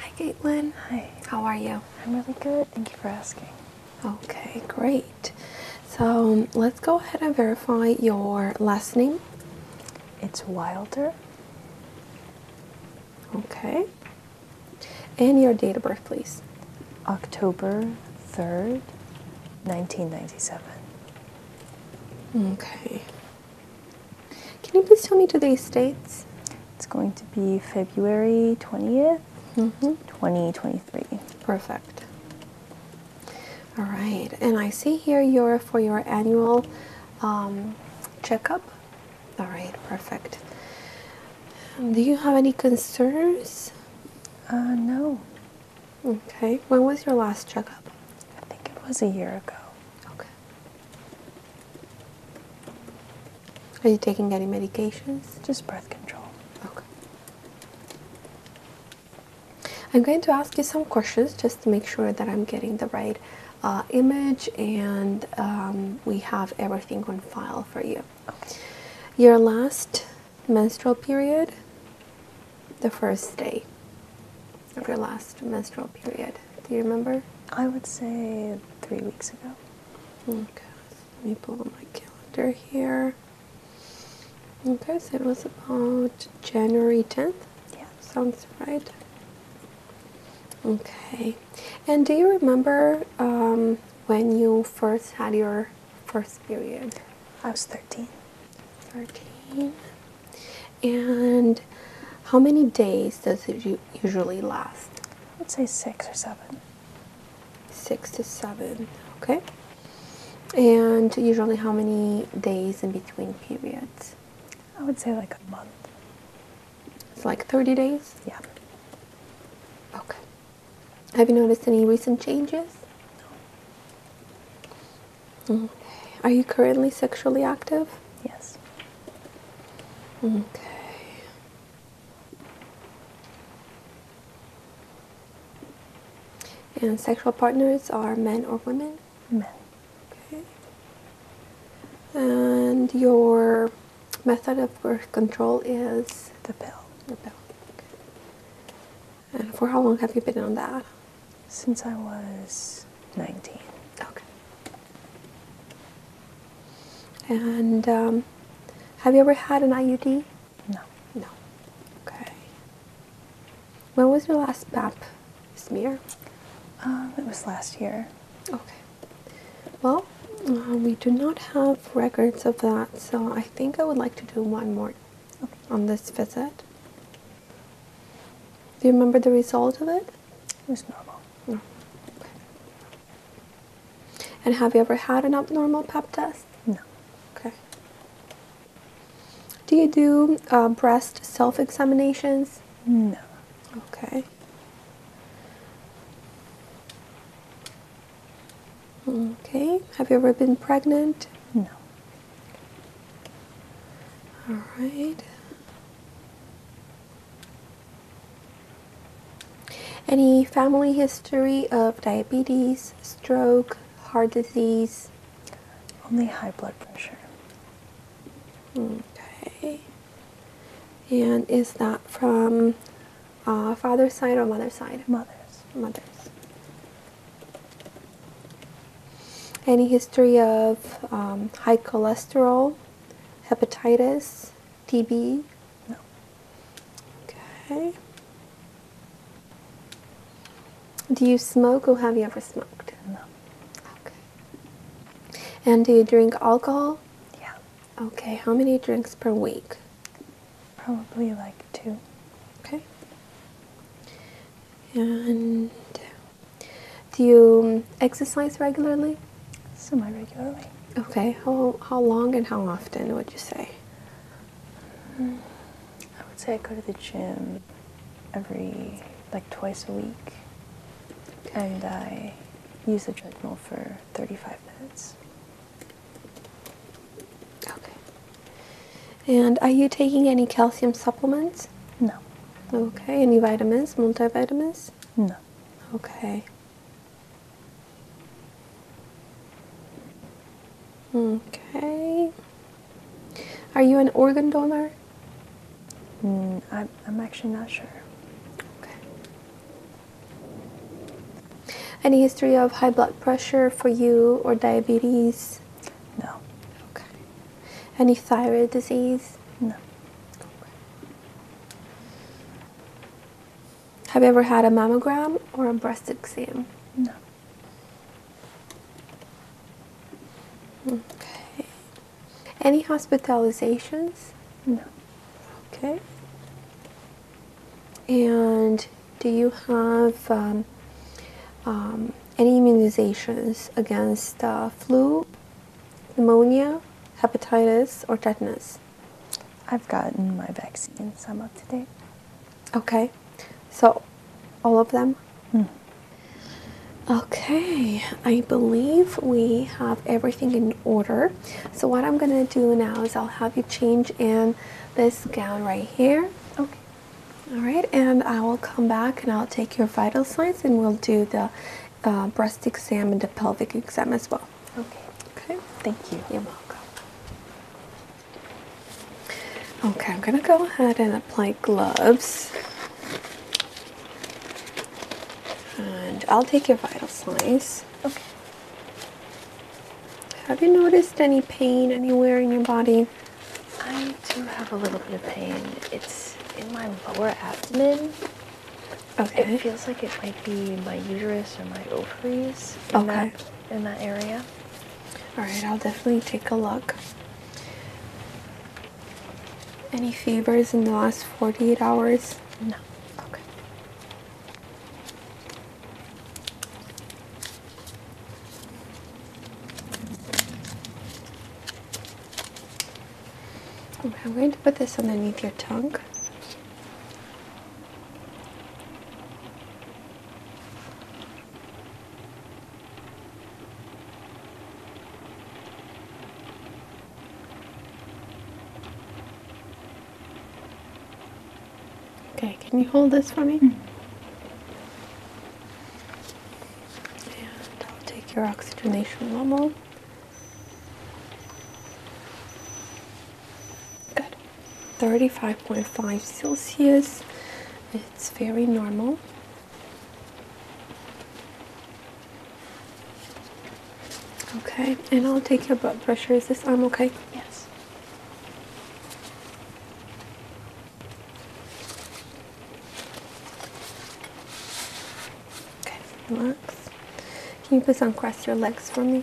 Hi, Caitlin. Hi. How are you? I'm really good. Thank you for asking. Okay, great. So let's go ahead and verify your last name. It's Wilder. Okay. And your date of birth, please. October 3rd, 1997. Okay. Can you please tell me today's dates? It's going to be February 20th, mm-hmm. 2023. Perfect. All right, and I see here you're for your annual um, checkup. All right, perfect. Do you have any concerns? Uh, no. Okay. When was your last checkup? I think it was a year ago. Okay. Are you taking any medications? Just birth control. Okay. I'm going to ask you some questions just to make sure that I'm getting the right uh, image and um, we have everything on file for you. Your last menstrual period the first day of your last menstrual period. Do you remember? I would say three weeks ago. Okay, let me pull my calendar here. Okay, so it was about January 10th? Yeah. Sounds right. Okay. And do you remember um, when you first had your first period? I was 13. 13. And how many days does it usually last? I'd say six or seven. Six to seven, okay. And usually how many days in between periods? I would say like a month. It's like 30 days? Yeah. Okay. Have you noticed any recent changes? No. Okay. Mm. Are you currently sexually active? Yes. Okay. And sexual partners are men or women? Men. Okay. And your method of birth control is? The pill. The pill. Okay. And for how long have you been on that? Since I was 19. Okay. And um, have you ever had an IUD? No. No. Okay. When was your last Pap smear? Um, it was last year. Okay. Well, uh, we do not have records of that, so I think I would like to do one more on this visit. Do you remember the result of it? It was normal. No. And have you ever had an abnormal pap test? No. Okay. Do you do uh, breast self examinations? No. Okay. Okay, have you ever been pregnant? No. All right. Any family history of diabetes, stroke, heart disease? Only high blood pressure. Okay. And is that from uh, father's side or mother's side? Mother's. Mother's. Any history of um, high cholesterol, hepatitis, TB? No. Okay. Do you smoke or have you ever smoked? No. Okay. And do you drink alcohol? Yeah. Okay. How many drinks per week? Probably like two. Okay. And uh, do you um, exercise regularly? Semi regularly. Okay. How, how long and how often would you say? Mm. I would say I go to the gym every, like twice a week. And I use the treadmill for 35 minutes. Okay. And are you taking any calcium supplements? No. Okay. Any vitamins, multivitamins? No. Okay. Okay. Are you an organ donor? Mm, I'm, I'm actually not sure. Okay. Any history of high blood pressure for you or diabetes? No. Okay. Any thyroid disease? No. Have you ever had a mammogram or a breast exam? No. Okay. Any hospitalizations? No. Okay. And do you have um, um, any immunizations against uh, flu, pneumonia, hepatitis, or tetanus? I've gotten my vaccines. I'm up to date. Okay. So, all of them? Hmm. Okay. I believe we have everything in order. So what I'm going to do now is I'll have you change in this gown right here. Okay. All right, and I will come back and I'll take your vital signs and we'll do the uh, breast exam and the pelvic exam as well. Okay. Okay. Thank you. You're welcome. Okay, I'm going to go ahead and apply gloves. And I'll take your vital signs. Okay. Have you noticed any pain anywhere in your body? I do have a little bit of pain. It's in my lower abdomen. Okay. It feels like it might be my uterus or my ovaries in, okay. that, in that area. Alright, I'll definitely take a look. Any fevers in the last 48 hours? No. Okay. I'm going to put this underneath your tongue. Okay, can you hold this for me? Mm. take your oxygenation level. Good. 35.5 Celsius. It's very normal. Okay, and I'll take your blood pressure. Is this arm okay? Yes. Okay, relax. Can you please uncross your legs for me?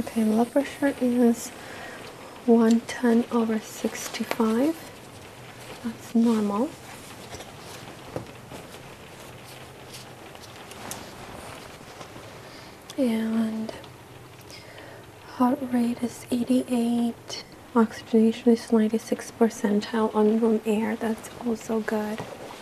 Okay, blood pressure is 110 over 65. That's normal. And heart rate is 88. Oxygenation is 96 percentile on room air. That's also good.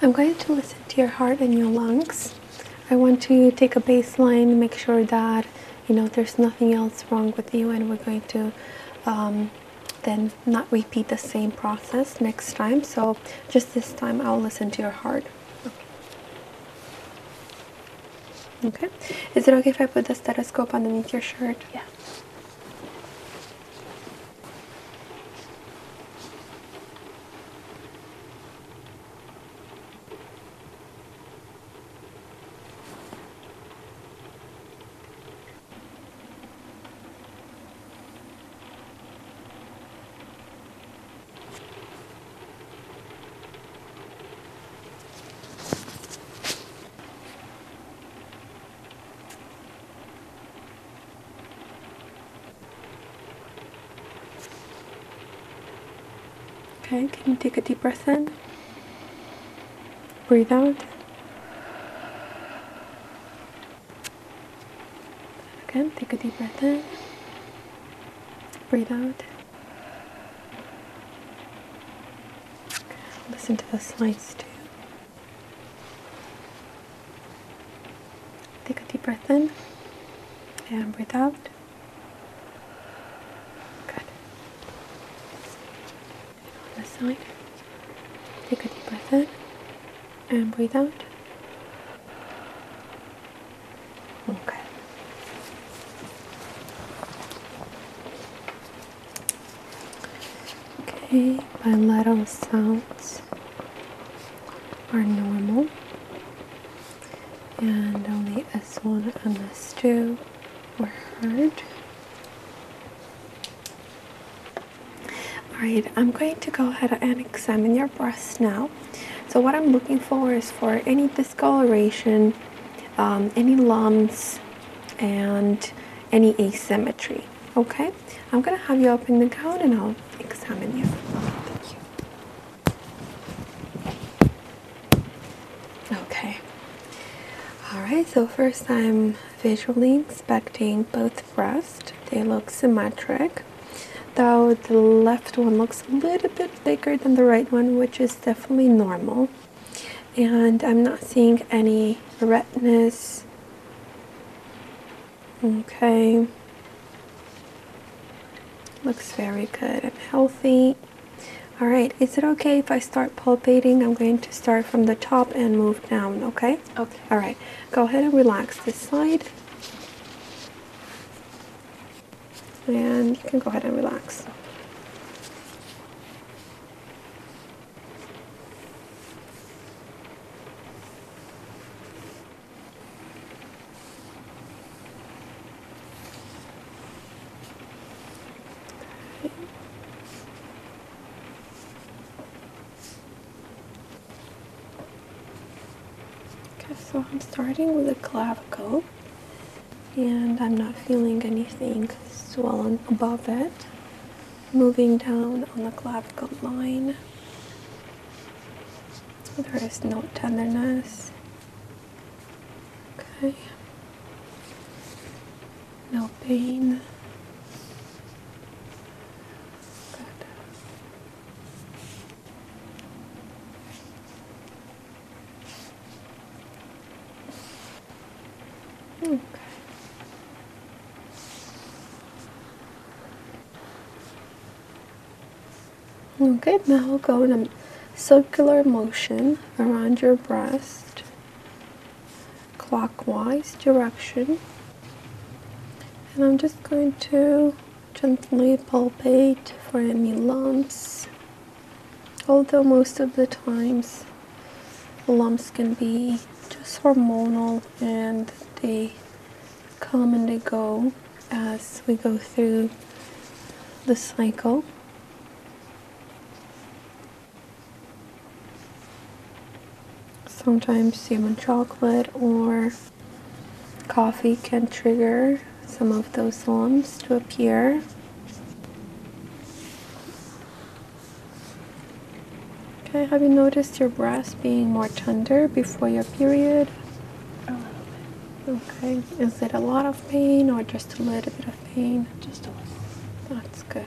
I'm going to listen to your heart and your lungs. I want to take a baseline, make sure that you know there's nothing else wrong with you, and we're going to um, then not repeat the same process next time. So just this time, I'll listen to your heart. Okay. Is it okay if I put the stethoscope underneath your shirt? Yeah. Okay, can you take a deep breath in? Breathe out. Again, take a deep breath in. Breathe out. Listen to the slides too. Take a deep breath in and breathe out. Good. And on take a deep breath in and breathe out. Okay. Okay, bilateral sounds are normal, and only S1 and S2 were heard. Alright, I'm going to go ahead and examine your breasts now. So what I'm looking for is for any discoloration, um, any lumps, and any asymmetry. Okay, I'm gonna have you open the gown and I'll examine you. you. Okay. All right. So first, I'm visually inspecting both breasts. They look symmetric though the left one looks a little bit bigger than the right one, which is definitely normal. And I'm not seeing any redness. Okay. Looks very good. and healthy. Alright, is it okay if I start palpating? I'm going to start from the top and move down, okay? Okay. Alright, go ahead and relax this side and you can go ahead and relax. Okay, so I'm starting with the clavicle, and I'm not feeling anything swollen above it. Moving down on the clavicle line, there is no tenderness. Okay, no pain. Okay. Okay, now go in a circular motion around your breast, clockwise direction. And I'm just going to Gently palpate for any lumps, although most of the times lumps can be just hormonal and they come and they go as we go through the cycle. Sometimes cinnamon chocolate or Coffee can trigger some of those lumps to appear. Okay, have you noticed your breasts being more tender before your period? A little bit. Okay, is it a lot of pain or just a little bit of pain? Just a little. That's good.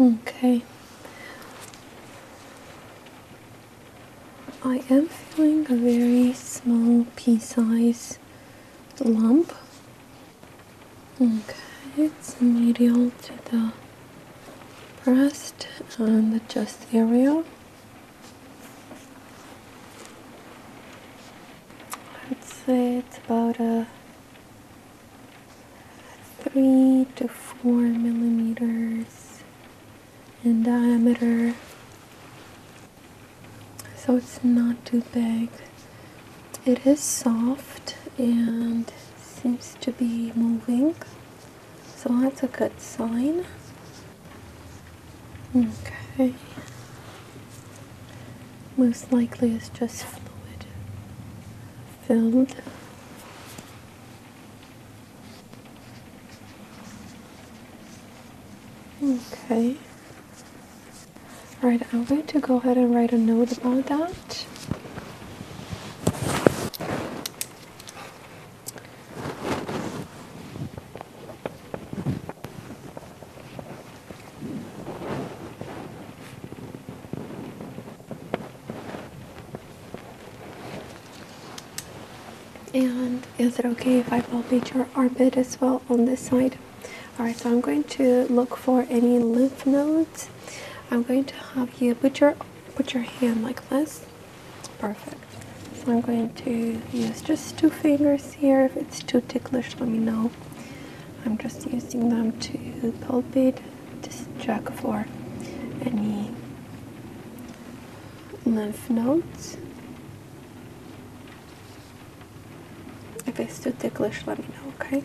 Okay. I am feeling a very small pea-sized lump. Okay, it's medial to the pressed on the chest area. I'd say it's about a three to four millimeters in diameter. So it's not too big. It is soft and seems to be moving. So that's a good sign. Okay. Most likely it's just fluid filled. Okay. Alright, I'm going to go ahead and write a note about that. And is it okay if I palpate your armpit as well on this side? Alright, so I'm going to look for any lymph nodes. I'm going to have you put your put your hand like this Perfect. So I'm going to use just two fingers here. If it's too ticklish, let me know. I'm just using them to palpate, just check for any lymph nodes. If it's too ticklish, let me know, okay?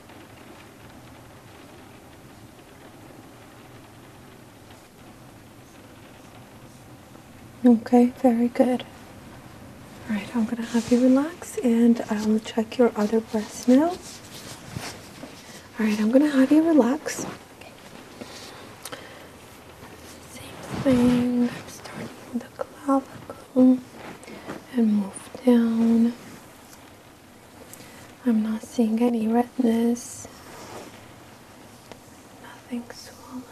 Okay, very good. All right, I'm gonna have you relax and I will check your other breast now. All right, I'm gonna have you relax. Same thing, I'm starting with the clavicle and move down I'm not seeing any redness, nothing swollen.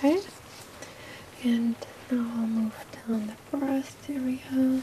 Okay, and now I'll move down the breast area.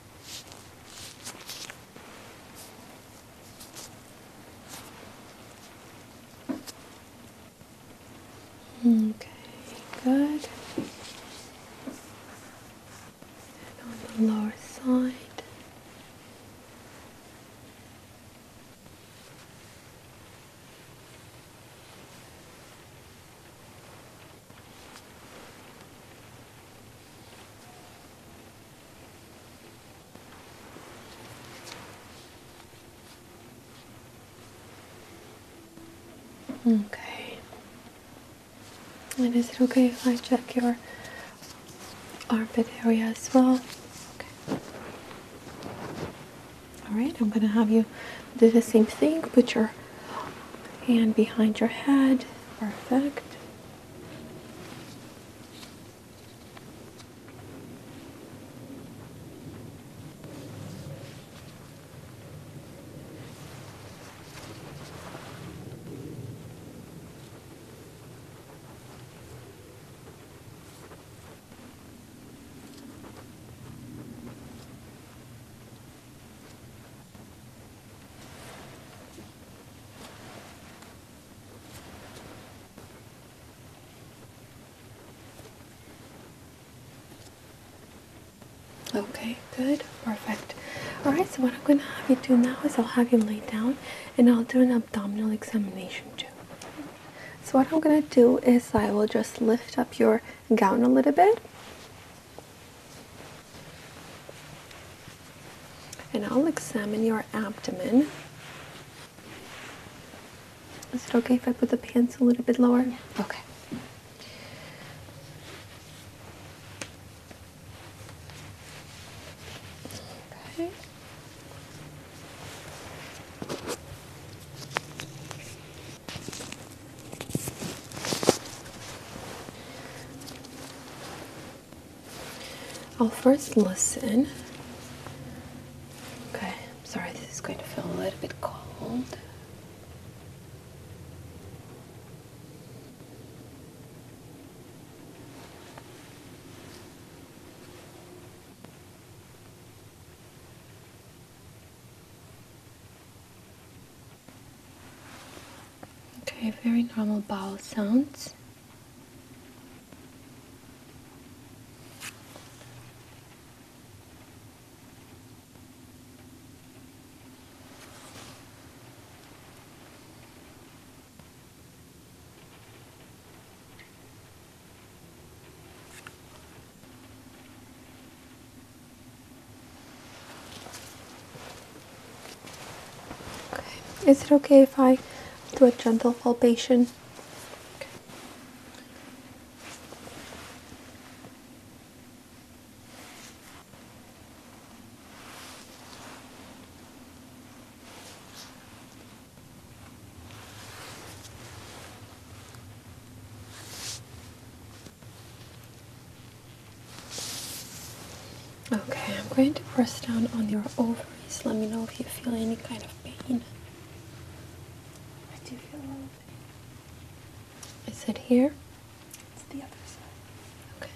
Okay, good. And on the lower side. Okay. And is it okay if I check your armpit area as well? Okay. Alright, I'm gonna have you do the same thing. Put your Hand behind your head. Perfect. Okay, good, perfect. Alright, so what I'm going to have you do now is I'll have you lay down and I'll do an abdominal examination too. So, what I'm going to do is I will just lift up your gown a little bit and I'll examine your abdomen. Is it okay if I put the pants a little bit lower? Okay. Okay. I'll first listen. Okay, I'm sorry, this is going to feel a little bit cold. Okay, very normal bowel sounds. Okay, is it okay if I do a gentle palpation? Okay, I'm going to press down on your ovaries. Let me know if you feel any kind of pain. I do feel a little pain. Is it here? It's the other side. Okay.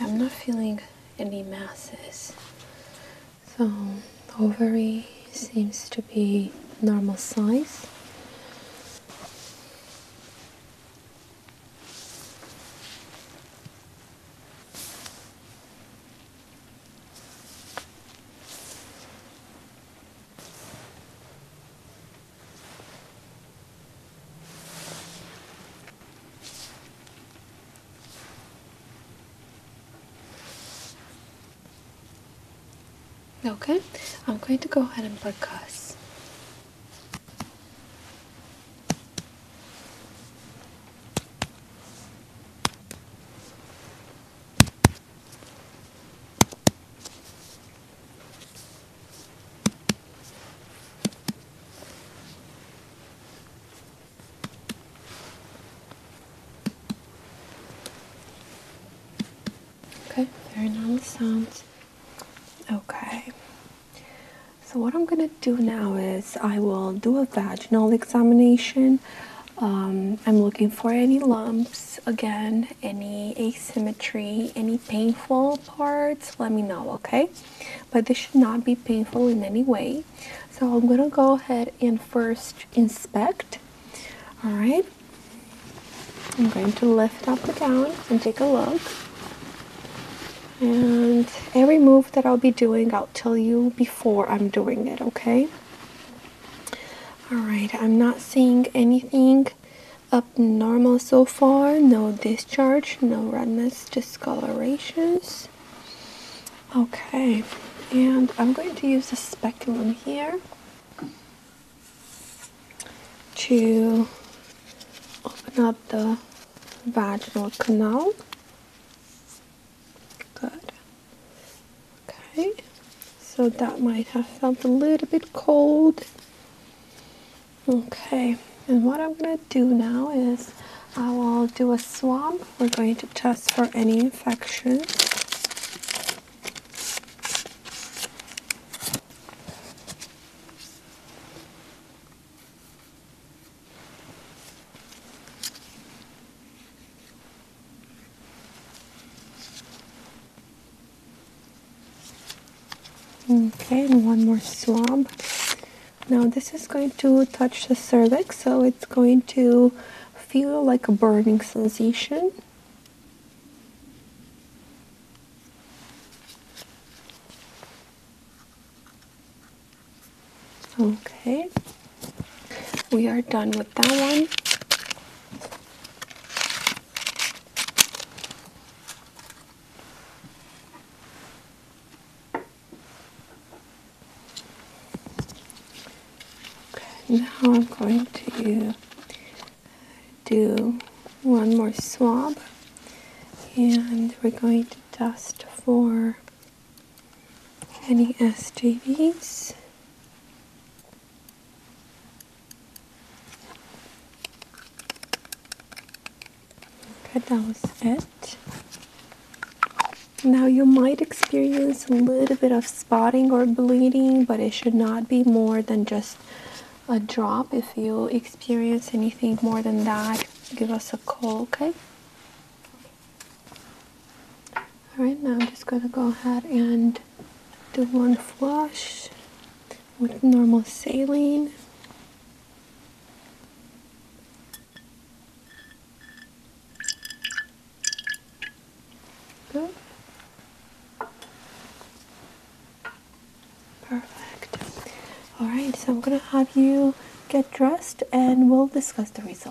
I'm not feeling any masses. So, ovary seems to be normal size. Okay, I'm going to go ahead and percuss. Okay, very normal sounds. Okay. So what I'm gonna do now is I will do a vaginal examination. Um, I'm looking for any lumps again, any asymmetry, any painful parts. Let me know, okay? But this should not be painful in any way. So I'm gonna go ahead and first inspect. All right, I'm going to lift up the gown and take a look. And every move that I'll be doing, I'll tell you before I'm doing it, okay? Alright, I'm not seeing anything abnormal so far. No discharge, no redness, discolorations. Okay, and I'm going to use a speculum here to open up the vaginal canal. Good. Okay, so that might have felt a little bit cold. Okay, and what I'm gonna do now is I will do a swab. We're going to test for any infections. Okay, and one more swab. Now this is going to touch the cervix, so it's going to feel like a burning sensation. Okay, we are done with that one now I'm going to do one more swab and we're going to dust for any STDs Okay, that was it. Now you might experience a little bit of spotting or bleeding, but it should not be more than just a drop. If you experience anything more than that, give us a call, okay? Alright, now I'm just going to go ahead and do one flush with normal saline. Good. Perfect. Alright, so I'm going to have you get dressed and we'll discuss the results.